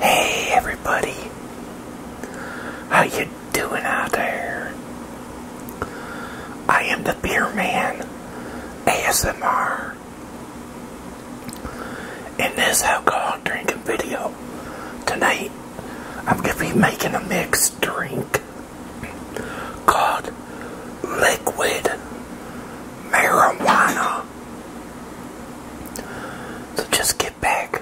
Hey everybody, how you doing out there? I am the Beer Man ASMR. In this alcohol drinking video tonight, I'm gonna be making a mixed drink called liquid marijuana. So just get back,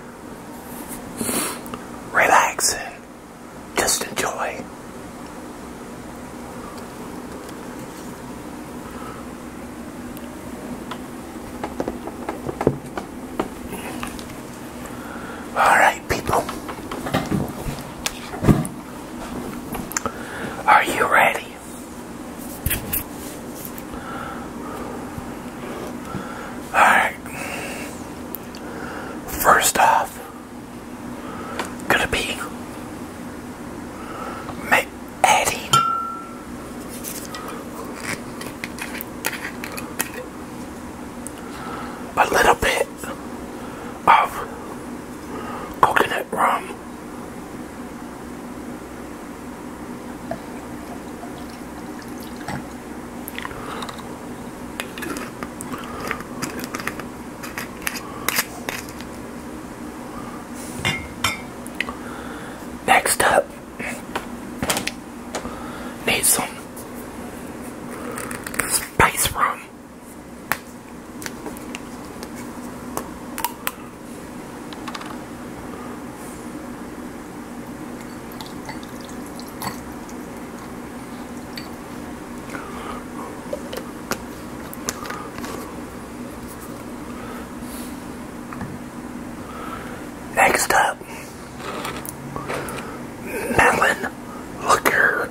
relax, and just enjoy. All right, people. Are you ready? Alright. First off, gonna be adding a little bit of coconut rum Next up, need some spice room. Next up, melon liquor.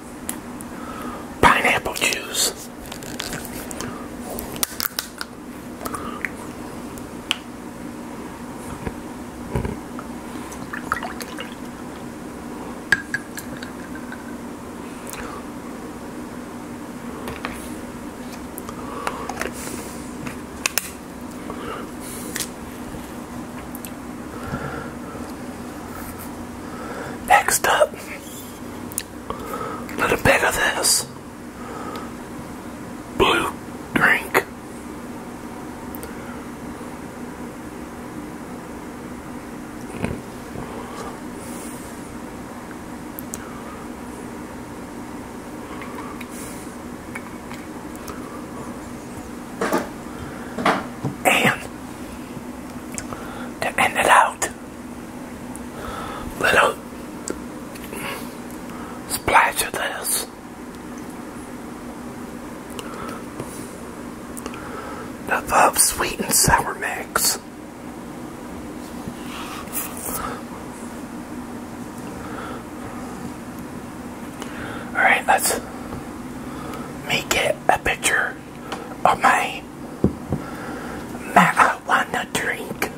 pineapple juice. Next up, a little bit of this blue drink. And to end it out, little splash this. The above sweet and sour mix. Alright, let's make it a picture of my marijuana drink.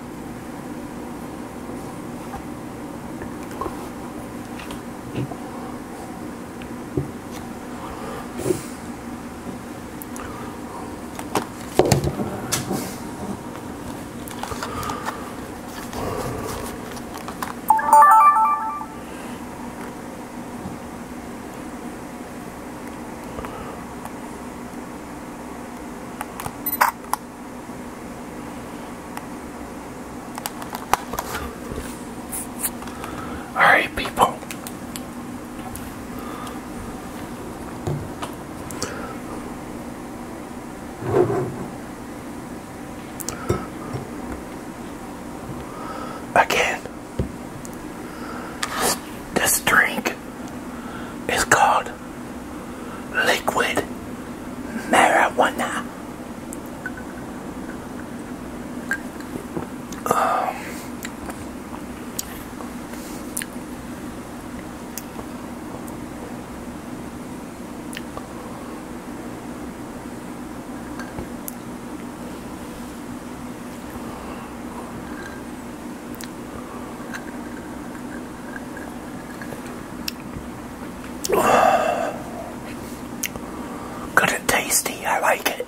All right, people. Again, this drink is called liquid marijuana. Good and tasty, I like it.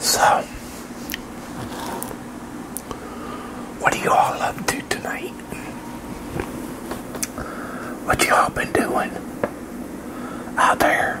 So, what are you all up to tonight? What you all been doing out there?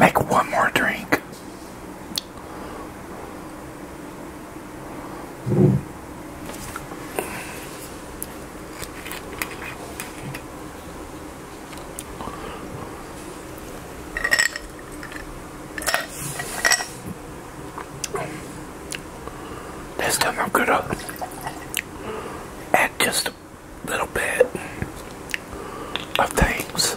Make one more drink. This time I'm gonna add just a little bit of things.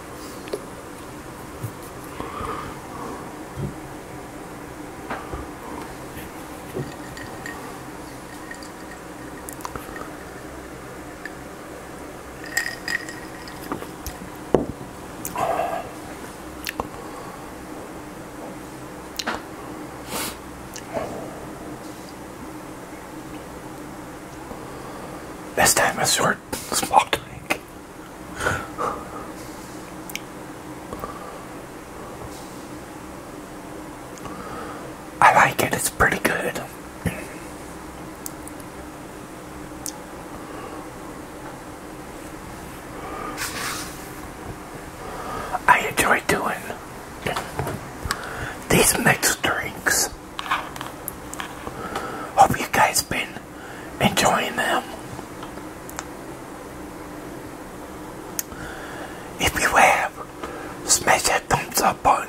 This time it's short smart, smart drink. I like it, it's pretty good. I enjoy doing these mixed drinks. Hope you guys been and enjoying them. If you have, smash that thumbs up button.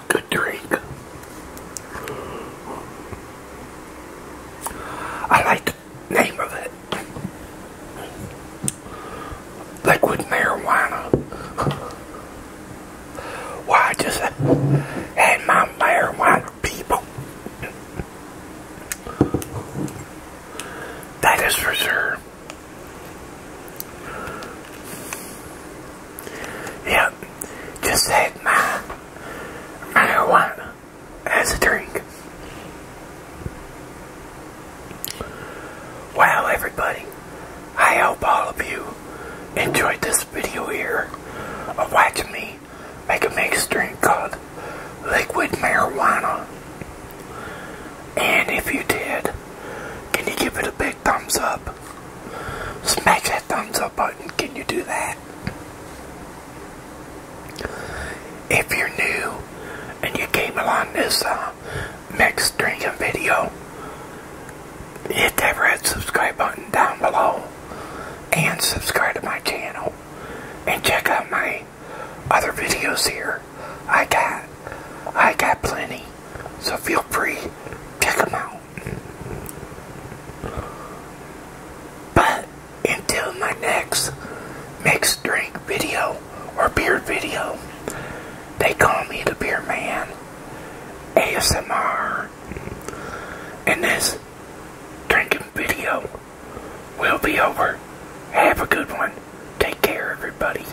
good drink. I like the name of it. Liquid marijuana. Well, just had my marijuana people. That is for sure. Yep, just had my marijuana as a drink. Well, everybody, I hope all of you enjoyed this video here of watching me make a mixed drink called liquid marijuana. And if you did, can you give it a big thumbs up? Smash that thumbs up button. Can you do that? If you're new and you came along this uh, Mex drinking video, hit that red subscribe button down below and subscribe to my channel and check out my other videos here. I got, I got plenty, so feel free, check them out. But until my next mixed drink video or beer video, they call me the Beer Man ASMR. And this drinking video will be over. Have a good one. Take care, everybody.